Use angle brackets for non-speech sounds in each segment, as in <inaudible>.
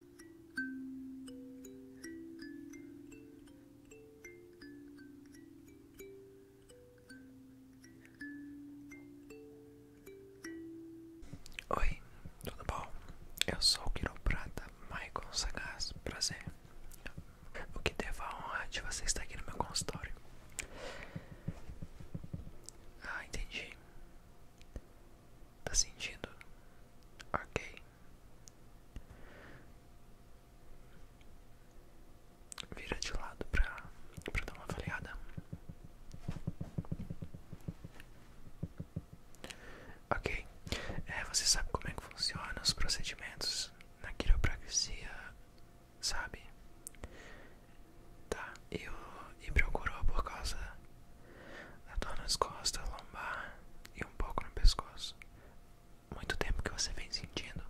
Oi, tudo bom? Eu sou o quiroprata Maicon Sagaz, prazer. O que devo a honra de você estar aqui no meu consultório? Ah, entendi. Tá sentindo? Ok. Vira de lado pra, pra dar uma avaliada. Ok. É, você sabe como é que funcionam os procedimentos na quiropraxia, sabe? Tá, eu e procurou por causa da dor nas costas, lombar e um pouco no pescoço. Muito tempo que você vem sentindo.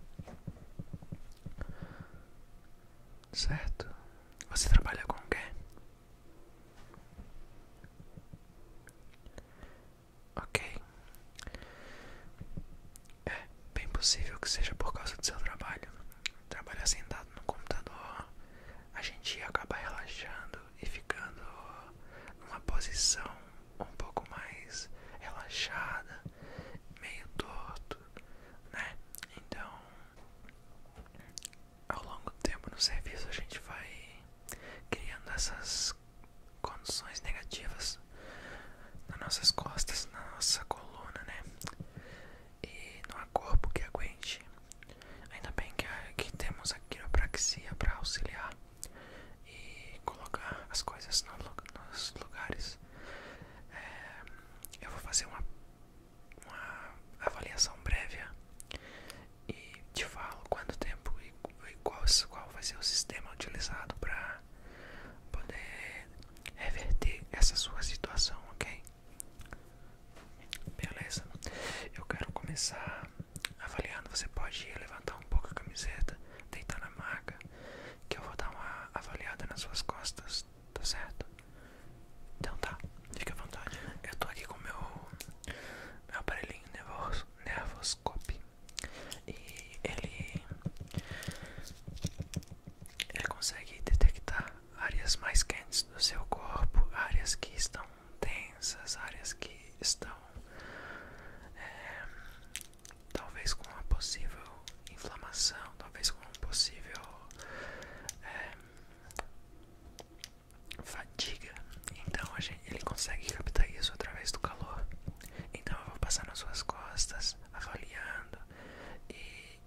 Certo? Você trabalha com o quê? Ok. É bem possível que seja por causa do seu trabalho. Trabalhar sentado no computador a gente acaba relaxando e ficando numa posição um pouco mais relaxada, meio torto, né? Então, ao longo do tempo no serviço, a gente vai criando essas condições negativas nas nossas costas, na nossa coluna, né? e não há corpo que aguente. Ainda bem que, que temos a quiropraxia para auxiliar e colocar as coisas nos lugares. É, eu vou fazer uma, avaliação prévia e te falo quanto tempo e, e qual, qual vai ser o sistema utilizado para poder reverter essa sua situação, ok? Beleza, eu quero começar avaliando. Você pode levantar um pouco a camiseta, deitar na maca, que eu vou dar uma avaliada nas suas costas, tá certo? Então tá, fica à vontade. Eu tô aqui com meu, meu aparelhinho nervos, nervoscope e ele, ele consegue detectar áreas mais quentes do seu corpo, áreas que estão densas, áreas que estão é, talvez com uma possível inflamação, talvez com um possível é, fadiga. Então a gente, ele consegue captar isso através do calor. Então eu vou passar nas suas costas, avaliando e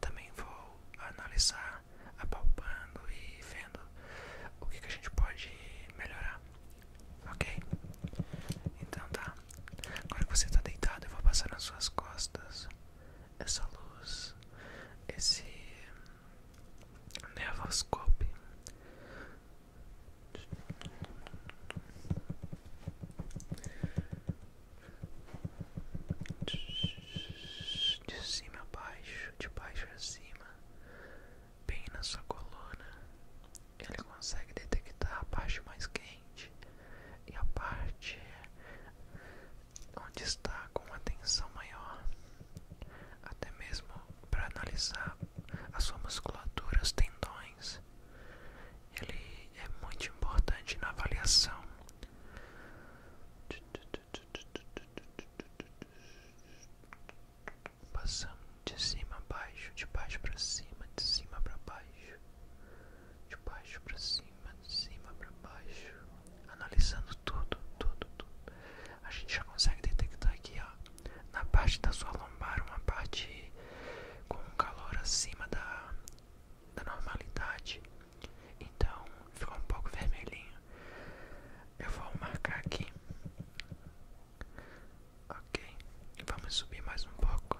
também vou analisar apalpando e vendo o que, a gente pode melhorar, ok? Então tá, agora que você está deitado, eu vou passar nas suas costas essa luz, esse nervoscope de cima a baixo, de baixo a cima, bem na sua coluna. Ele consegue detectar a parte mais quente e a parte onde está com uma tensão maior, até mesmo para analisar a sua musculatura, os tendões. Ele é muito importante na avaliação passando de cima a baixo, de baixo para cima, de cima para baixo, de baixo para cima, de cima para baixo, analisando tudo, tudo, tudo. A gente já consegue detectar aqui, ó, na parte da sua lombar, uma parte com um calor acima da, da normalidade. Então ficou um pouco vermelhinho. Eu vou marcar aqui. Ok, vamos subir mais um pouco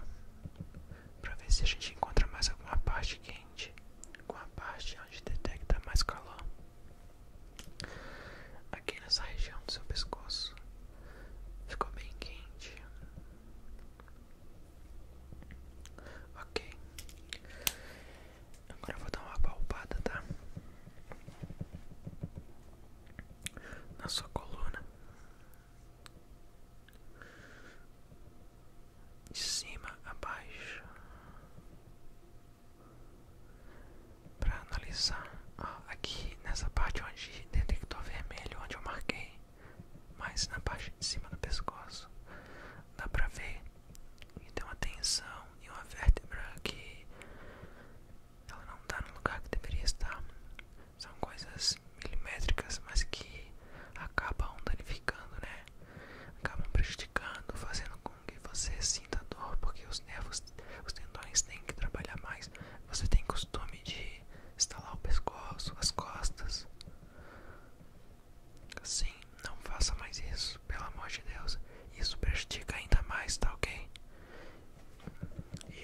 para ver se a gente encontra mais alguma parte quente, alguma parte onde detecta mais calor. Aqui nessa região do seu pescoço ficou bem quente. Ok. Agora eu vou dar uma palpada, tá? Na sua coluna. De cima a baixo. Para analisar aqui nessa parte onde detector vermelho, onde eu marquei mais na parte de cima do pescoço dá pra ver que tem uma tensão e uma vértebra que ela não tá no lugar que deveria estar. São coisas milimétricas, mas que acabam danificando, né? Acabam prejudicando, fazendo com que você sinta dor, porque os nervos, os tendões têm que trabalhar mais. Você tem costume de estalar o pescoço, as costas, Sim, não faça mais isso, pelo amor de Deus. Isso prejudica ainda mais, tá ok?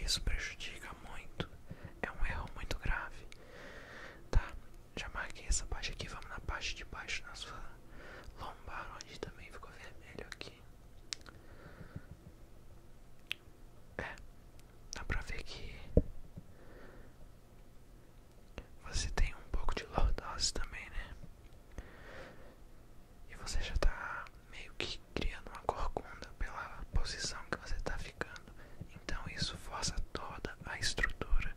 Isso prejudica muito. É um erro muito grave. Tá, já marquei essa parte aqui. Vamos na parte de baixo, na sua lombar, onde também ficou vermelho aqui. É, dá pra ver que você tem um pouco de lordose também, né? E você já tá meio que criando uma corcunda pela posição que você tá ficando. Então isso força toda a estrutura.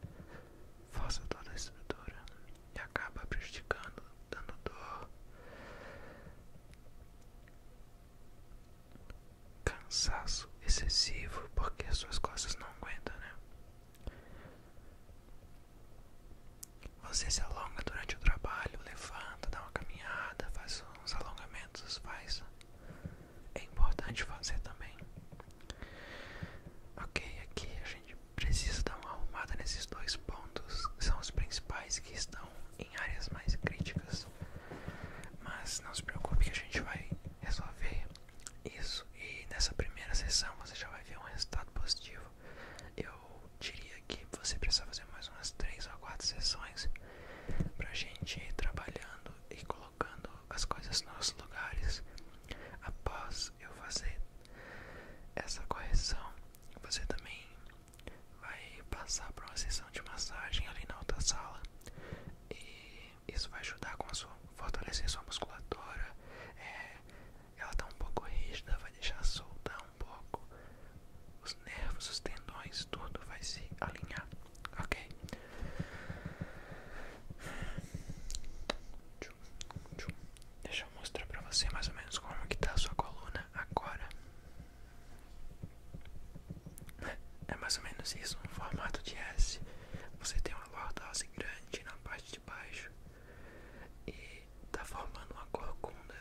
Força toda a estrutura. E acaba prejudicando, dando dor cansaço excessivo porque as suas costas não aguentam, né? Você se alonga durante o trabalho, levanta, dá uma caminhada, faz uns alongamentos, faz. É importante fazer também. Ok, aqui a gente precisa dar uma arrumada nesses dois pontos. São os principais que estão em áreas mais críticas. Mas não se preocupe que a gente vai resolver isso. E nessa primeira sessão você já vai ver um resultado positivo. Eu diria que você precisa fazer mais umas três ou quatro sessões para a gente ir trabalhando e colocando as coisas nos lugares. Após eu fazer essa correção, você também vai passar para uma sessão de massagem ali na outra sala e isso vai ajudar com a sua fortalecer sua musculatura. É, ela está um pouco rígida, vai deixar soltar um pouco os nervos, os tendões, tudo vai se alinhar, ok? Deixa eu mostrar para você mais ou menos como que tá a sua coluna agora. É mais ou menos isso, um formato de S. Você tem uma lordose grande na parte de baixo e está formando uma corcunda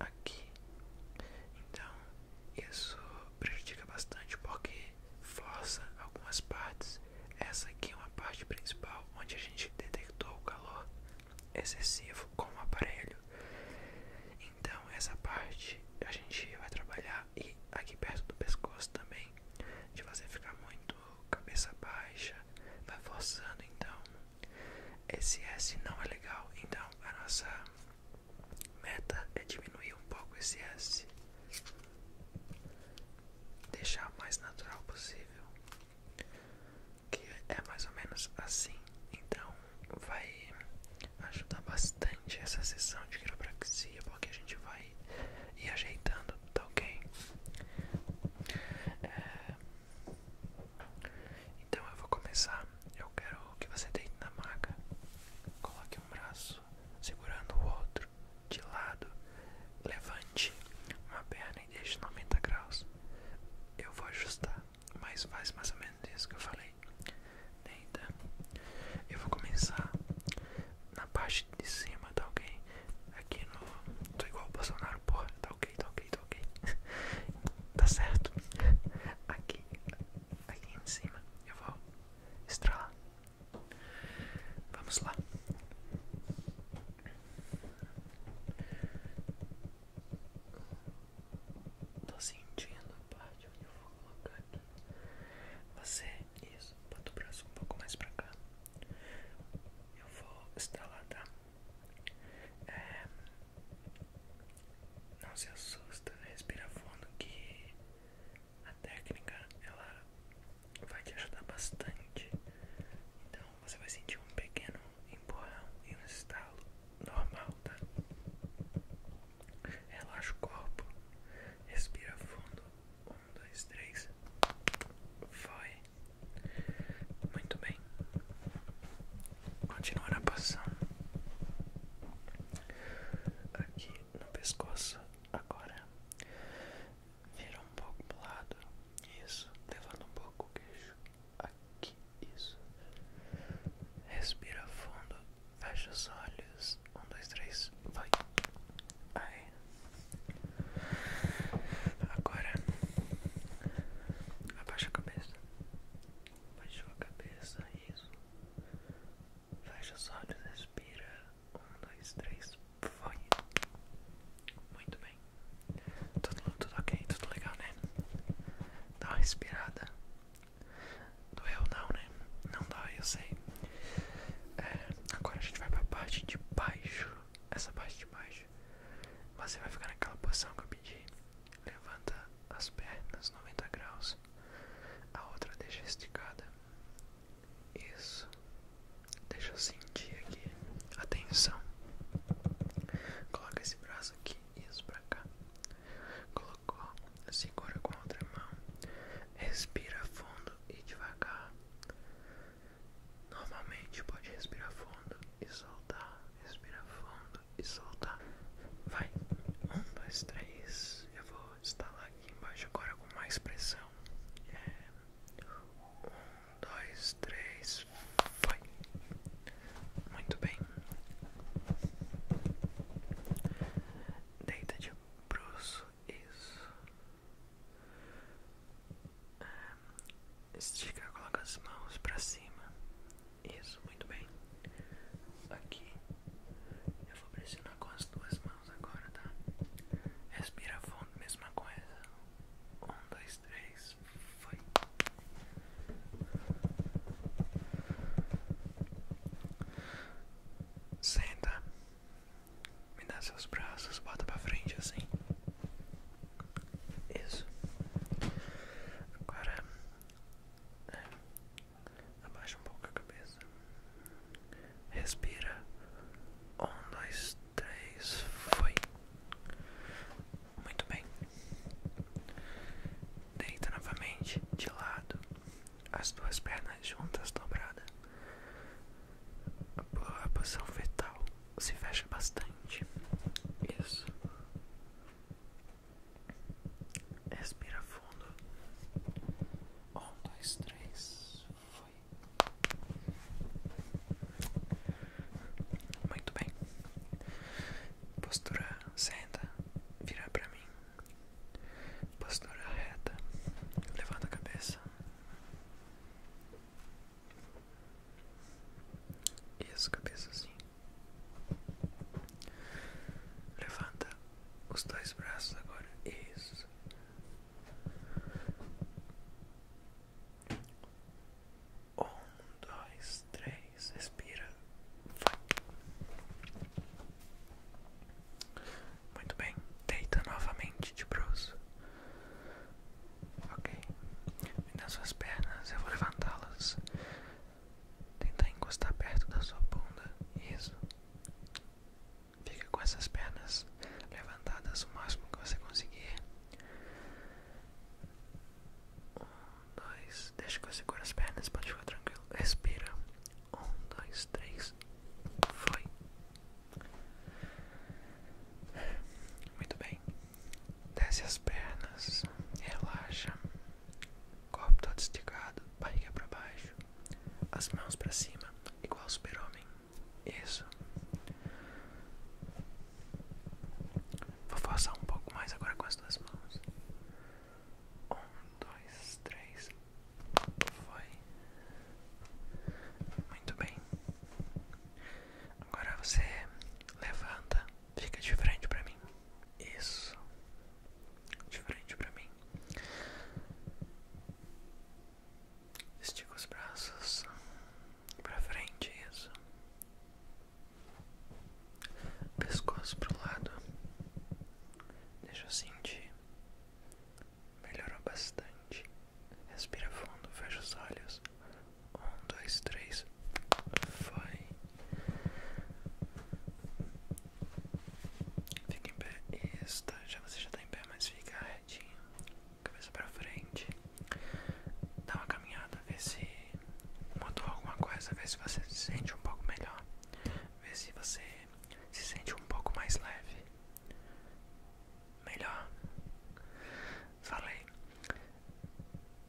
aqui. Então, isso prejudica bastante porque força algumas partes. Essa aqui é uma parte principal onde a gente detectou o calor excessivo com o aparelho. Então essa parte a gente vai trabalhar e aqui perto do pescoço também, de você ficar muito cabeça baixa, vai forçando então. Esse S não é legal, então a nossa meta é diminuir um pouco esse S, deixar o mais natural possível que é mais ou menos assim. Então vai ajudar bastante essa sessão de quiropraxia, porque a gente vai ir ajeitando, tá ok? É, então eu vou começar. Eu quero que você deite na maca, coloque um braço segurando o outro de lado, levante uma perna e deixe 90 graus. Eu vou ajustar mas faz mais ou menos isso que eu falei. Deita. Eu vou começar na parte de cima, tá ok? Aqui no. Tô igual o Bolsonaro, porra. Tá ok, tá ok, tá ok. <laughs> tá certo. Aqui. Aqui em cima. Eu vou estralar. Vamos lá. Um, Tô sentindo a parte onde eu vou colocar Você, isso, bota o braço um pouco mais pra cá. Eu vou instalar, tá? É, não se assusta, respira fundo que a técnica ela vai te ajudar bastante. Então você vai sentir um pequeno empurrão e um estalo normal, tá? Relaxa o corpo, respira fundo. Um, dois, três. Foi. Muito bem. Continua na posição. Aqui no pescoço, agora. Vira um pouco pro lado. Isso, levando um pouco o queixo aqui, isso. Respira fundo, fecha os olhos. Um, dois, três, vai. Aí. Agora, abaixa a cabeça. abaixa a cabeça, isso. Fecha os olhos, respira. Um, dois, três, foi. Muito bem. Tudo, tudo ok, tudo legal, né? Dá uma respirada. Doeu não, né? Não dói, eu sei. É, agora a gente vai pra parte de baixo. Essa parte de baixo. Você vai ficar naquela posição que eu pedi. Levanta as pernas 90 graus. A outra deixa esticada. Isso. Deixa assim sentir aqui a Coloca esse braço aqui, isso pra cá. Colocou, segura com a outra mão. Respira fundo e devagar. Normalmente pode respirar fundo e soltar. Respira fundo e soltar. Vai. Um, dois, três. Eu vou instalar aqui embaixo agora com mais pressão. É. Um, um dois, três, foi. Muito bem. Deita de bruxo, isso. Estica, coloca as mãos pra cima. Isso, muito bem. Aqui. Eu vou pressionar com as duas mãos agora, tá? Respira fundo, mesma coisa. Um, dois, três isso foi. Senta, me dá seus braços, bota pra frente assim. Isso. Agora né, abaixa um pouco a cabeça. Respira. Um, dois, três, foi. Muito bem. Deita novamente de lado, as duas pernas juntas dobradas. A posição fetal se fecha bastante. Isso. Respira fundo. Um, dois, três. Muito bem. Postura senta, virar para mim. Postura reta, levanta a cabeça. Isso, cabeça assim. Levanta os dois braços agora. Isso. Um, dois, três, respira. Muito bem, deita novamente de bruxo. Ok, e nas suas pernas eu vou levantá-las. Tentar encostar perto da sua bunda. Isso. Fica com essas pernas levantadas o máximo que você conseguir. Um, dois, deixa que você segure as pernas, pode ficar tranquilo. Respira. Um, dois, três. Foi. Muito bem. Desce as pernas, relaxa. Corpo todo esticado, barriga para baixo, as mãos para cima, igual super-homem. Isso. Vou forçar um pouco mais agora com as duas mãos. Um, dois, três. Foi. Muito bem. Agora você levanta, fica de frente para mim. Isso. De frente para mim. Estica os braços para frente, isso. Pescoço pro lado. Deixa eu sentir. Melhorou bastante. Respira fundo, fecha os olhos. Um, dois, três. Foi. Fica em pé. Isso, tá? já você já está em pé, mas fica cabeça pra frente, dá uma caminhada, vê se mudou alguma coisa, vê se você se sente um pouco melhor, vê se você se sente um pouco mais leve. Melhor. Falei.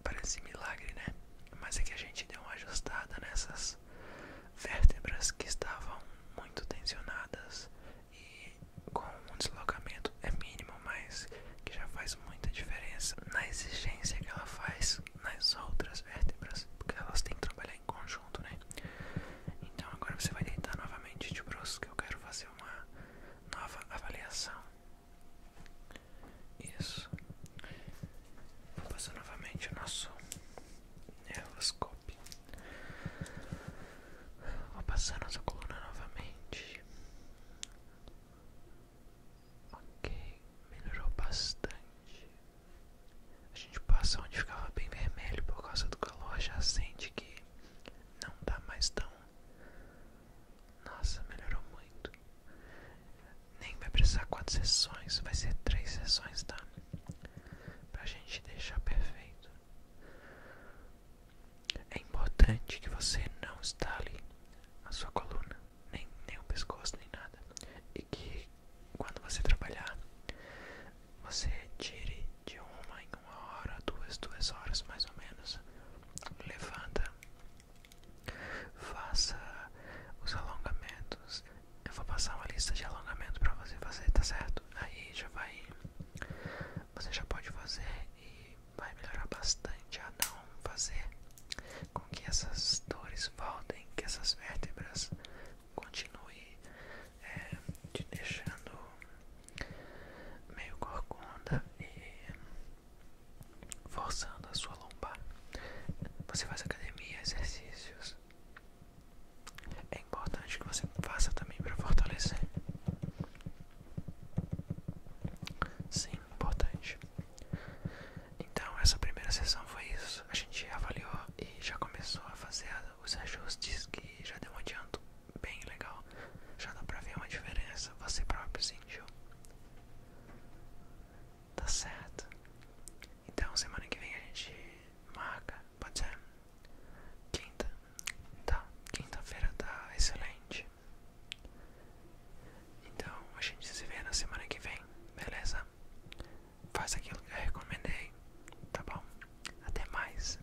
Parece milagre, né? Mas é que a gente deu uma ajustada nessas vértebras que estavam muito tensionadas e com um deslocamento é mínimo, mas que já faz muita diferença na exigência que ela faz nas outras vértebras, porque elas têm que trabalhar em conjunto, né? Então agora você vai deitar novamente de bruxo, que eu quero fazer uma nova avaliação. Isso. Vou fazer novamente o nosso nervoscopo top. Vou passar nossa coluna novamente. Ok, melhorou bastante. A gente passa onde ficava bem vermelho por causa do calor, já sente que não dá tá mais tão. Nossa, melhorou muito. Nem vai precisar quatro sessões, vai ser três sessões, tá? pra gente deixar perfeito. É importante que você não estale a sua coluna, nem, nem o pescoço, nem nada. E que quando você trabalhar, você tire de uma em uma hora, duas, duas horas mais ou menos. Levanta, faça os alongamentos eu vou passar uma lista de alongamentos para você fazer, tá certo? Aí já vai, você já pode fazer e vai melhorar bastante a não fazer com que essas dores voltem, que essas vértebras continuem é, te deixando meio corcunda e forçando a sua lombar. Você faz academia, exercícios, é importante que você faça também para fortalecer. Sim, importante. Então, essa primeira sessão foi isso. A gente avaliou e já começou a fazer os ajustes que já deu um adianto bem legal. Já dá para ver uma diferença, você próprio sentiu. Tá certo. Então semana que vem a gente marca, pode ser? Quinta, tá? Quinta-feira tá excelente. Então a gente se vê na semana que vem, beleza? Faz aquilo que eu recomendei, tá bom? Até mais.